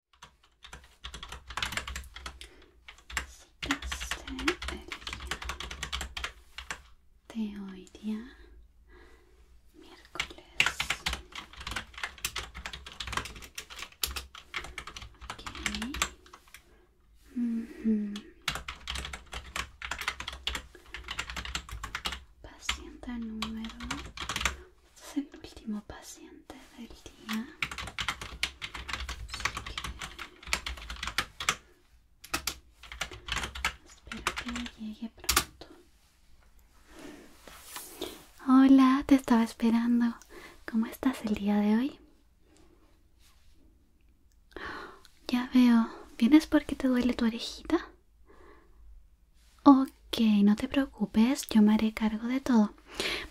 Este el día de hoy día miércoles okay. paciente número es el último paciente del día. espero que llegue pronto. Hola, te estaba esperando. ¿Cómo estás el día de hoy? Ya veo. ¿Vienes porque te duele tu orejita? Ok, no te preocupes, yo me haré cargo de todo.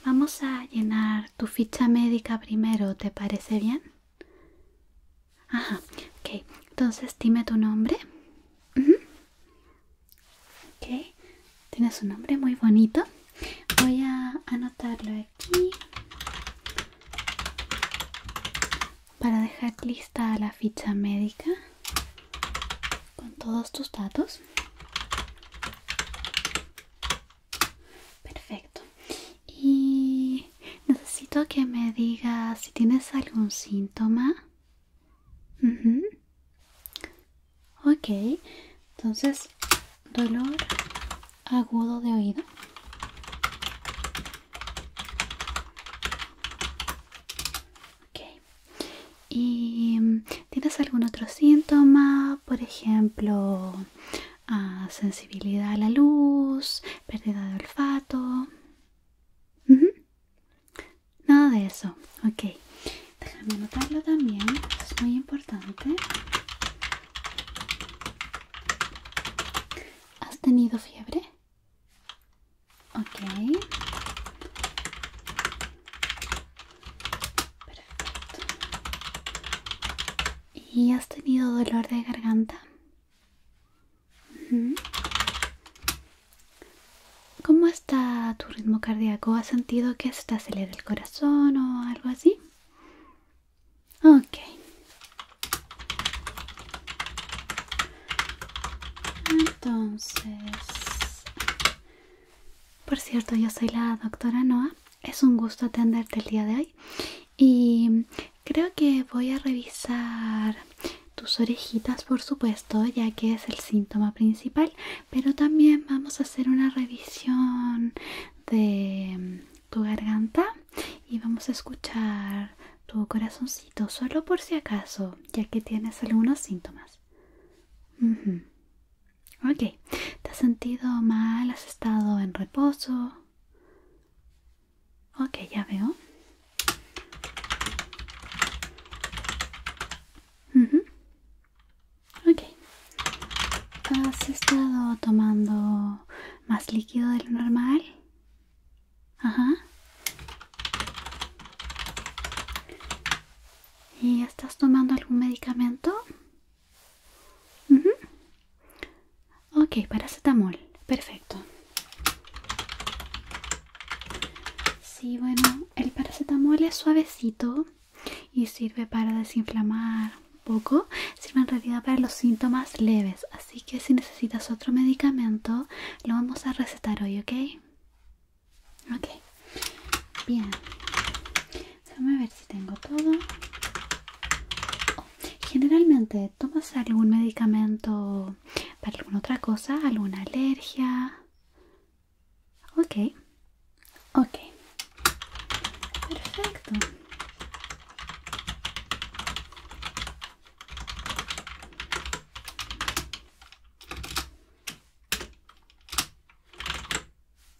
Vamos a llenar tu ficha médica primero, ¿te parece bien? Ajá, ok. Entonces dime tu nombre. tienes un nombre muy bonito. Voy a anotarlo aquí para dejar lista la ficha médica con todos tus datos. Perfecto. Y necesito que me digas si tienes algún síntoma. Ok, entonces dolor agudo de oído. Okay. ¿Y tienes algún otro síntoma? Por ejemplo, ah, sensibilidad a la luz, pérdida de olfato. Nada de eso. Ok. Déjame anotarlo también. Es muy importante. ¿Has tenido fiebre? Ok. ¿Y has tenido dolor de garganta? ¿Cómo está tu ritmo cardíaco? ¿Has sentido que se te acelera el corazón o algo así? Ok. Entonces, por cierto, yo soy la doctora Noa, Es un gusto atenderte el día de hoy. Y creo que voy a revisar tus orejitas, por supuesto, ya que es el síntoma principal. Pero también vamos a hacer una revisión de tu garganta y vamos a escuchar tu corazoncito solo por si acaso, ya que tienes algunos síntomas. Ok, ¿te has sentido mal? ¿Has estado en reposo? Ok, ya veo. ¿Has estado tomando más líquido de lo normal? Ajá. ¿Y estás tomando algún medicamento? Ok, paracetamol. Perfecto. Sí, bueno, el paracetamol es suavecito y sirve para desinflamar un poco. Sirve en realidad para los síntomas leves. Así que si necesitas otro medicamento, lo vamos a recetar hoy, ¿ok? Ok, bien. a ver si tengo todo. generalmente, ¿tomas algún medicamento para alguna otra cosa? ¿Alguna alergia? Ok, ok. Perfecto.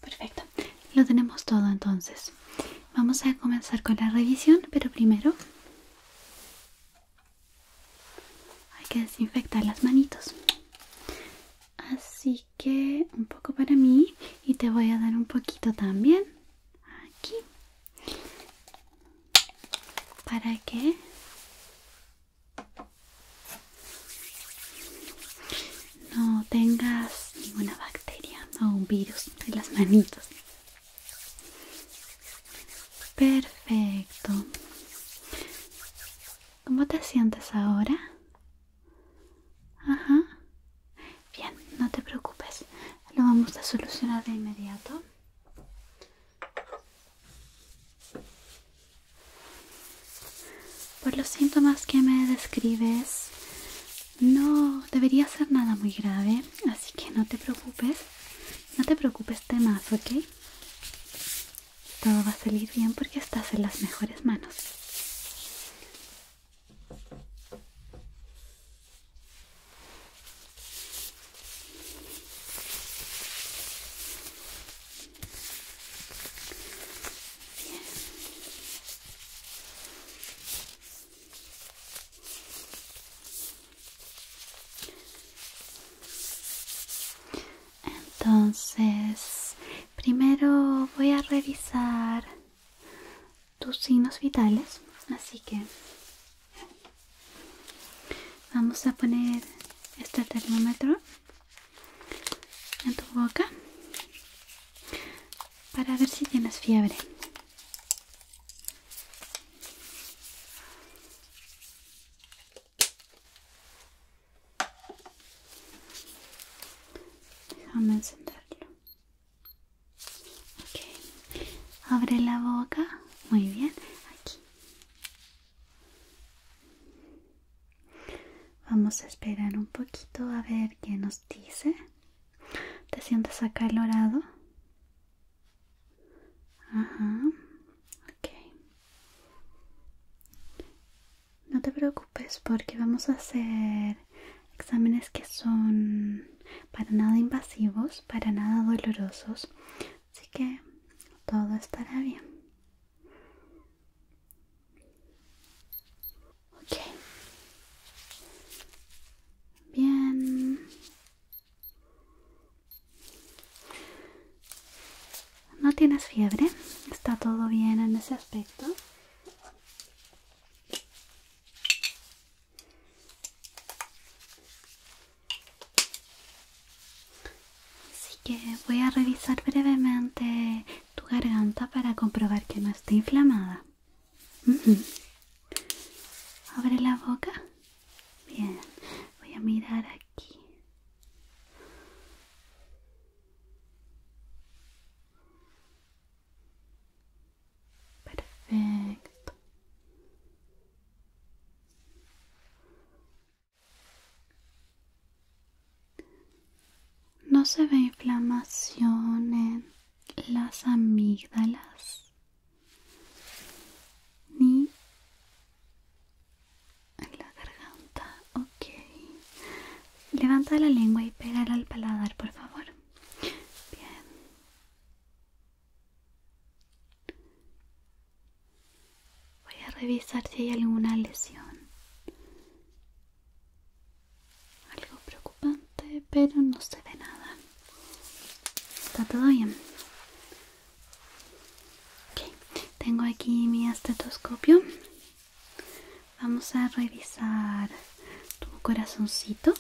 Perfecto, lo tenemos todo entonces. Vamos a comenzar con la revisión, pero primero hay que desinfectar las manitos. Así que un poco para mí y te voy a dar un poquito también aquí para que no tengas ninguna bacteria o un virus de las manitos. Perfecto. ¿Cómo te sientes ahora? Ajá. Bien, no te preocupes. Lo vamos a solucionar de inmediato. Por los síntomas que me describes, no debería ser nada muy grave, así que no te preocupes, no te preocupes temas, ¿ok? Todo va a salir bien porque estás en las mejores manos. Entonces, primero voy a revisar tus signos vitales, así que vamos a poner este termómetro en tu boca para ver si tienes fiebre. Déjame encenderlo. Ok. Abre la boca. Muy bien. Aquí. Vamos a esperar un poquito a ver qué nos dice. ¿Te sientes acalorado? Ajá. No te preocupes porque vamos a hacer exámenes que son para nada invasivos, para nada dolorosos. Así que todo estará bien. Ok. Bien. ¿No tienes fiebre? ¿Está todo bien en ese aspecto? Así que voy a revisar brevemente tu garganta para comprobar que no esté inflamada. Abre la boca. Bien, voy a mirar aquí. Perfecto. No se ve inflamación en las amígdalas ni en la garganta. Ok. Levanta la lengua y pégala al paladar, por favor. Bien. Voy a revisar si hay alguna lesión. Algo preocupante, pero no se ve nada. Está todo bien. Tengo aquí mi estetoscopio. Vamos a revisar tu corazoncito. A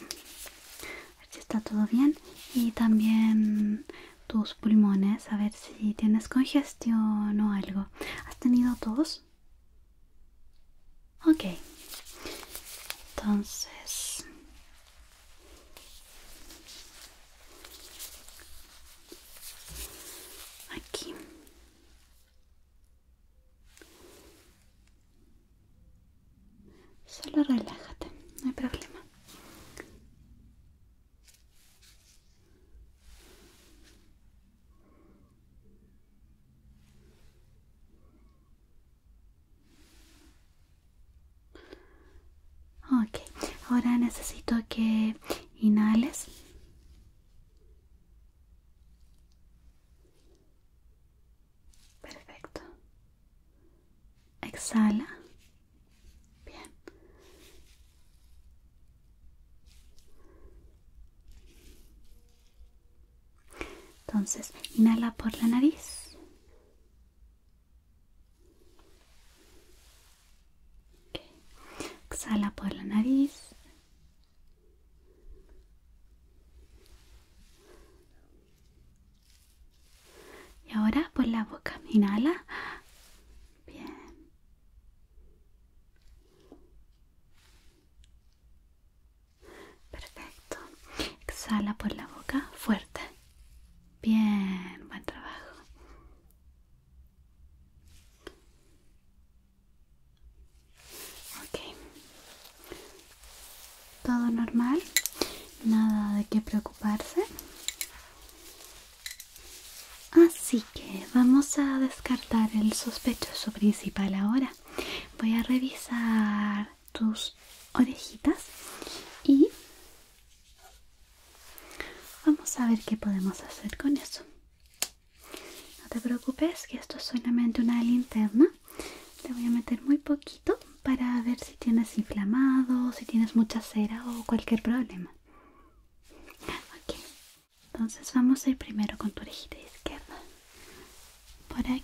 ver si está todo bien. Y también tus pulmones a ver si tienes congestión o algo. ¿Has tenido tos? Ok. Entonces... Aquí. Solo relájate, no hay problema. Okay, ahora necesito que inhales. Perfecto. Exhala. Bien. Entonces, inhala por la nariz. Exhala por la nariz. Y ahora por la boca. Inhala. Bien. Perfecto. Exhala por la boca fuerte. Bien, buen trabajo. Todo normal. Nada de qué preocuparse. Así que vamos a descartar el sospechoso principal ahora. Voy a revisar tus orejitas y vamos a ver qué podemos hacer con eso. No te preocupes que esto es solamente una linterna. Te voy a meter muy poquito para ver si tienes inflamado, si tienes mucha cera o cualquier problema. Okay, entonces vamos a ir primero con tu orejita izquierda. Por aquí.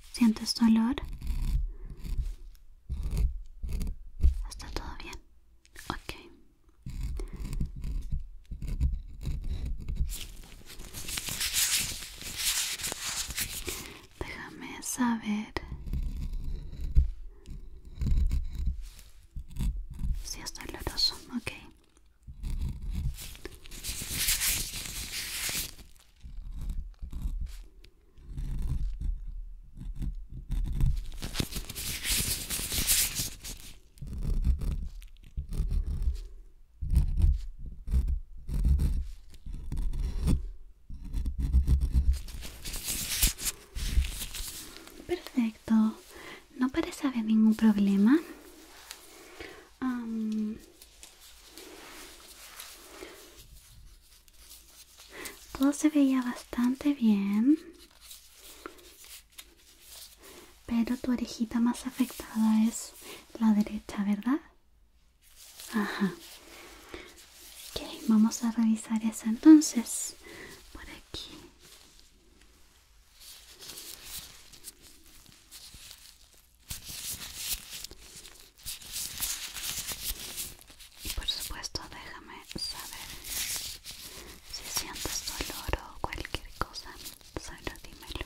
¿Sientes dolor? ¿Está todo bien? okay. Déjame saber si es doloroso, okay. Perfecto, no parece haber ningún problema. Todo se veía bastante bien, pero tu orejita más afectada es la derecha, ¿verdad? Ajá. Ok, vamos a revisar eso entonces por aquí. Y por supuesto déjame saber si sientes dolor o cualquier cosa, solo dímelo.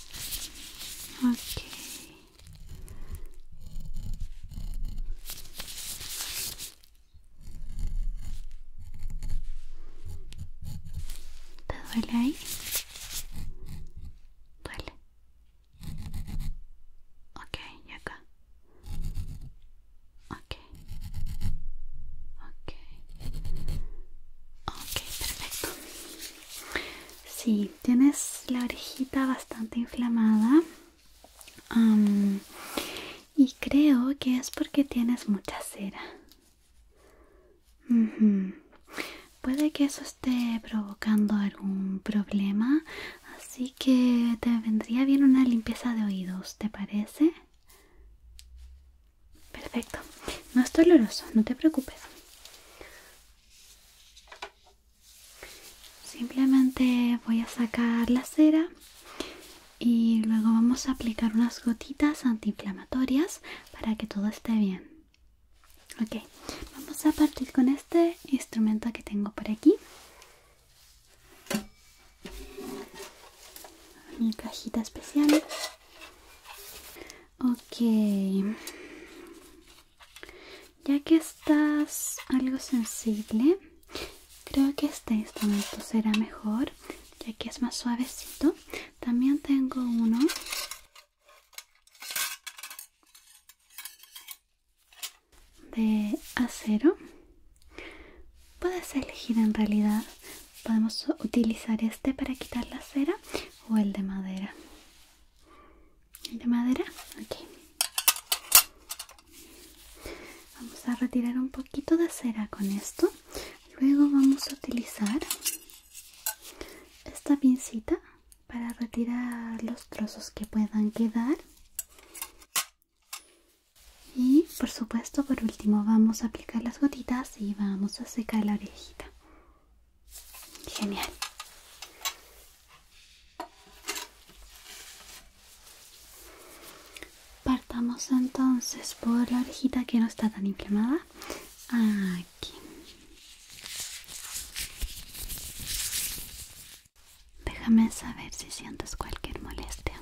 Ok. ¿Te duele ahí? Duele. Ok, y acá. Ok. Okay. Okay, perfecto. Sí, tienes la orejita bastante inflamada y creo que es porque tienes mucha cera. Puede que eso esté provocando algún problema, así que te vendría bien una limpieza de oídos, ¿te parece? Perfecto, no es doloroso, no te preocupes. Simplemente voy a sacar la cera y luego vamos a aplicar unas gotitas antiinflamatorias para que todo esté bien. Ok, vamos a partir con este instrumento que tengo por aquí. Mi cajita especial. Ok. Ya que estás algo sensible, creo que este instrumento será mejor, ya que es más suavecito. También tengo uno. de acero puedes elegir en realidad podemos utilizar este para quitar la cera o el de madera el de madera ok vamos a retirar un poquito de cera con esto luego vamos a utilizar esta pincita para retirar los trozos que puedan quedar y por supuesto por último vamos a aplicar las gotitas y vamos a secar la orejita Genial. Partamos entonces por la orejita que no está tan inflamada. Aquí. Déjame saber si sientes cualquier molestia.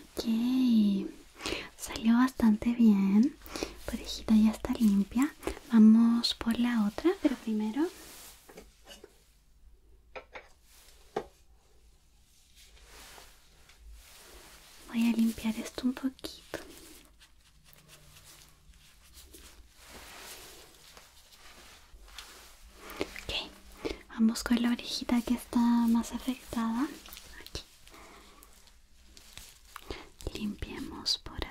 Ok, salió bastante bien. Parejita ya está limpia. Vamos por la otra, pero primero. Voy a limpiar esto un poquito. Ok, vamos con la orejita que está más afectada. Limpiemos por acá.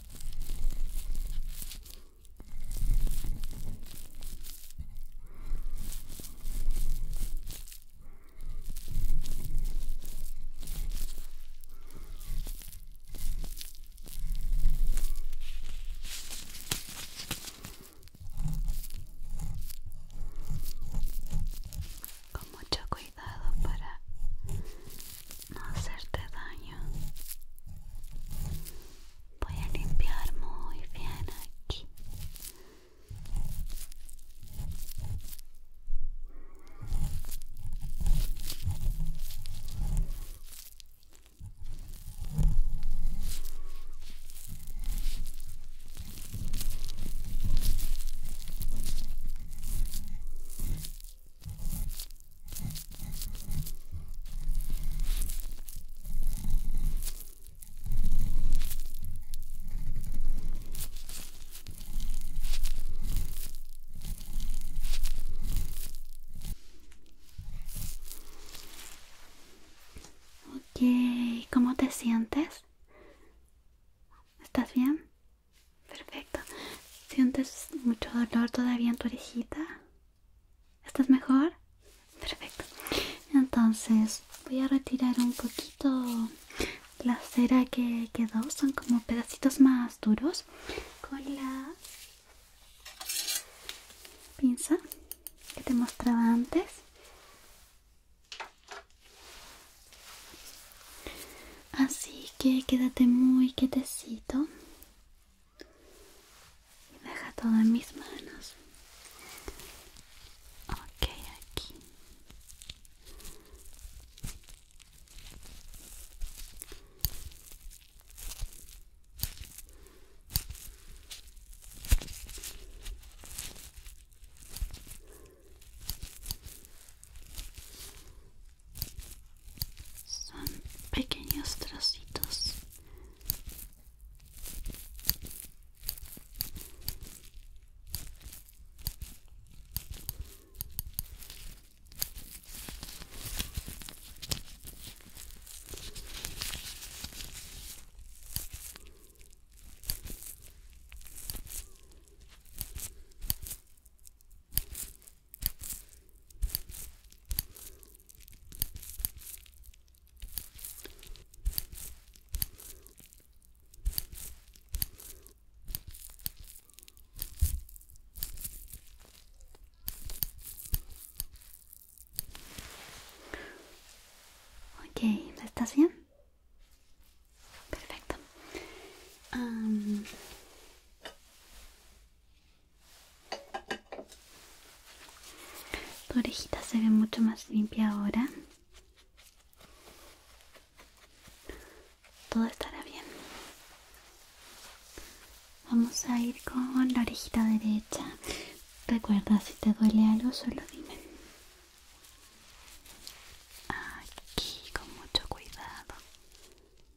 Con mucho cuidado para no hacerte daño. Voy a limpiar muy bien aquí. Okay, ¿cómo te sientes? ¿Estás bien? Perfecto. ¿Sientes mucho dolor todavía en tu orejita? ¿Estás mejor? Perfecto. Entonces voy a retirar un poquito la cera que quedó. Son como pedacitos más duros. Con la pinza que te mostraba antes. Así que quédate muy quietecito y deja todo en mis manos. Ok, aquí son pequeños trocitos Okay, está bien? Perfecto. Um, tu orejita se ve mucho más limpia ahora. Todo estará bien. Vamos a ir con la orejita derecha. Recuerda, si te duele algo, solo dime. Aquí, con mucho cuidado.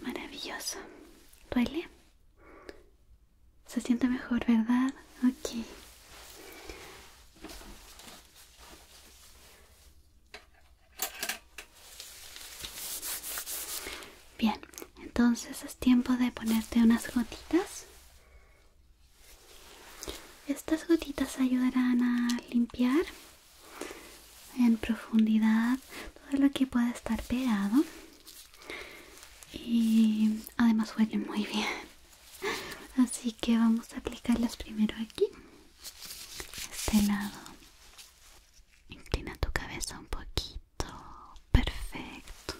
Maravilloso. ¿Duele? Se siente mejor, ¿verdad? Ok. Bien, entonces es tiempo de ponerte unas gotitas. Estas gotitas ayudarán a limpiar en profundidad todo lo que pueda estar pegado y además huele muy bien. Así que vamos a aplicarlas primero aquí, este lado. Inclina tu cabeza un poquito. Perfecto, perfecto.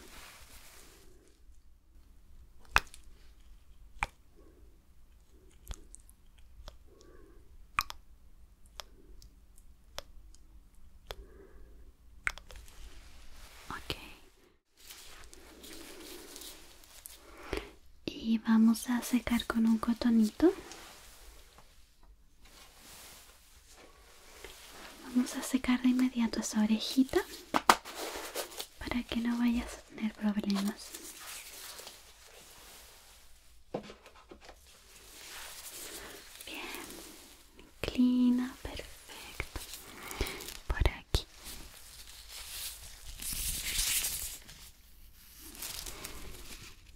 Y vamos a secar con un cotonito. Vamos a secar de inmediato esa orejita para que no vayas a tener problemas. Bien, inclina, perfecto. Por aquí.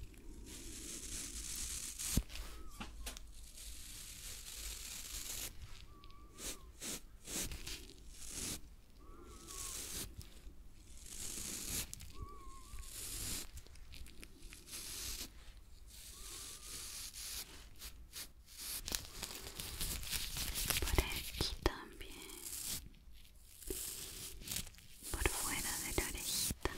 Por aquí también, por fuera de la orejita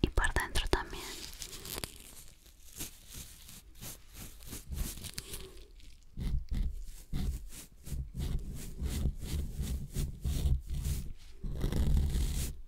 y por dentro también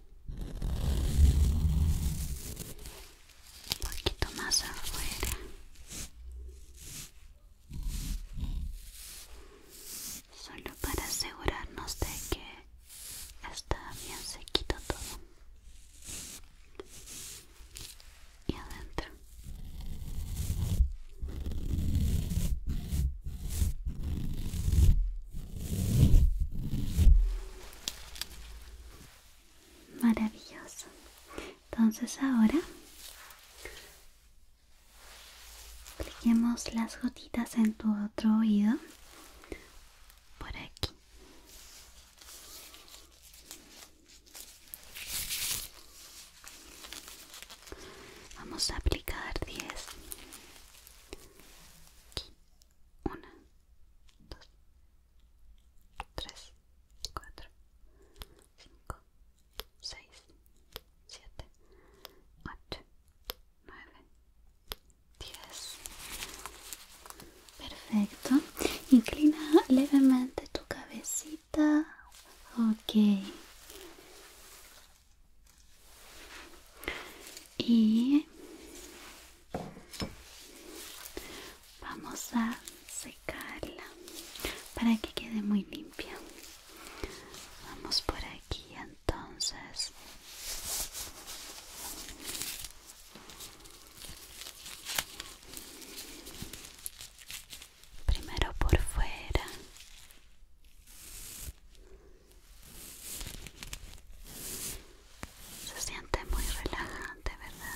un poquito más afuera solo para asegurarnos de que está bien sequito todo y adentro Maravilloso. Entonces ahora apliquemos las gotitas en tu otro oído. Por aquí. Vamos a aplicar 10 una, dos, tres, cuatro, cinco, seis, siete, ocho, nueve, diez. Perfecto. Inclina levemente tu cabecita. Okay. Y Vamos a secarla para que quede muy limpia. Vamos por aquí entonces. Primero por fuera se siente muy relajante, ¿verdad?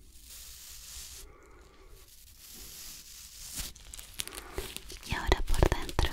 y ahora por dentro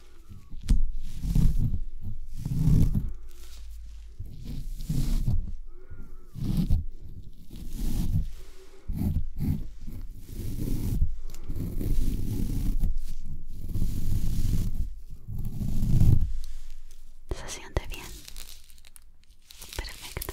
Se siente bien. Perfecto.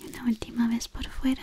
Y una última vez por fuera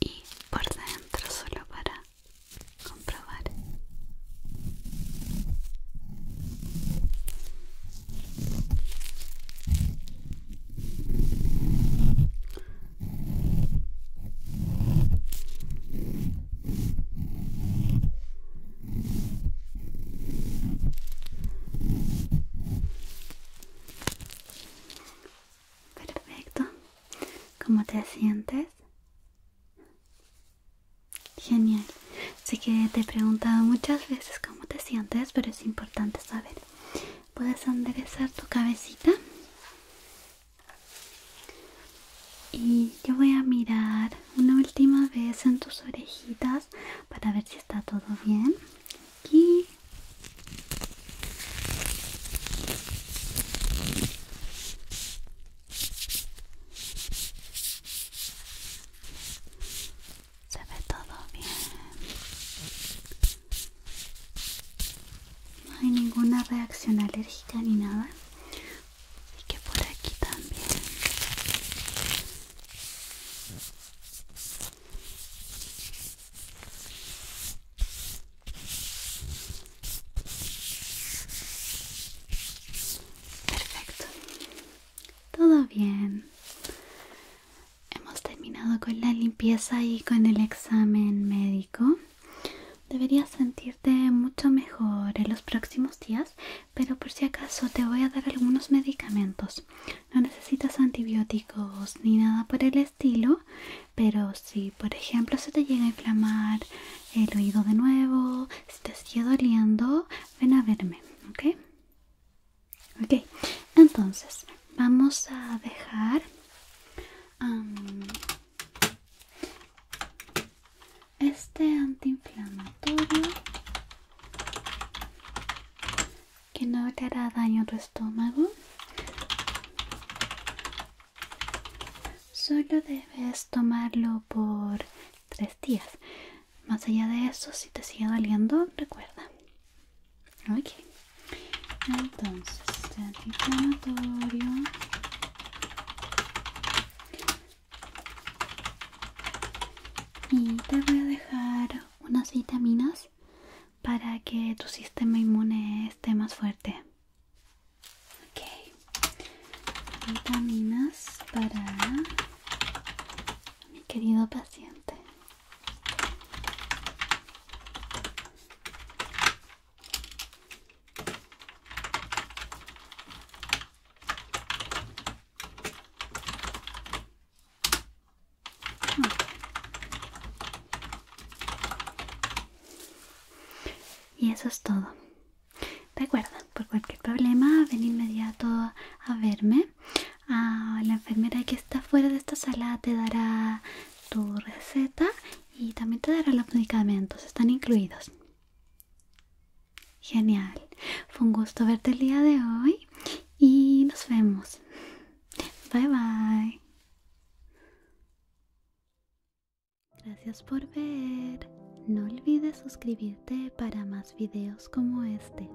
y por dentro solo para comprobar Perfecto. ¿Cómo te sientes? Genial. Sé que te he preguntado muchas veces cómo te sientes, pero es importante saber. Puedes enderezar tu cabecita. Y yo voy a mirar una última vez en tus orejitas para ver si está todo bien aquí se ve todo bien no hay ninguna reacción alérgica ni nada y que por aquí también Perfecto. Todo bien. Hemos terminado con la limpieza y con el examen médico. Deberías sentirte mucho mejor en los próximos días, pero por si acaso te voy a dar algunos medicamentos no necesitas antibióticos ni nada por el estilo pero si por ejemplo se te llega a inflamar el oído de nuevo si te sigue doliendo ven a verme ok ok entonces vamos a dejar este antiinflamatorio que no te hará daño a tu estómago. Solo debes tomarlo por tres días. Más allá de eso, si te sigue doliendo, recuerda. Ok. Entonces, antiinflamatorio. Y te voy a dejar unas vitaminas para que tu sistema inmune esté más fuerte. Ok, vitaminas para mi querido paciente. Y eso es todo. Recuerda, por cualquier problema, ven inmediato a verme. Ah, la enfermera que está fuera de esta sala te dará tu receta y también te dará los medicamentos, están incluidos. Genial, fue un gusto verte el día de hoy y nos vemos. Bye bye. Gracias por ver. No olvides suscribirte para más videos como este.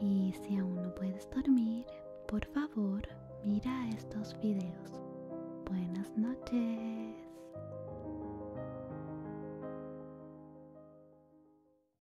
Y si aún no puedes dormir, por favor, mira estos videos. Buenas noches.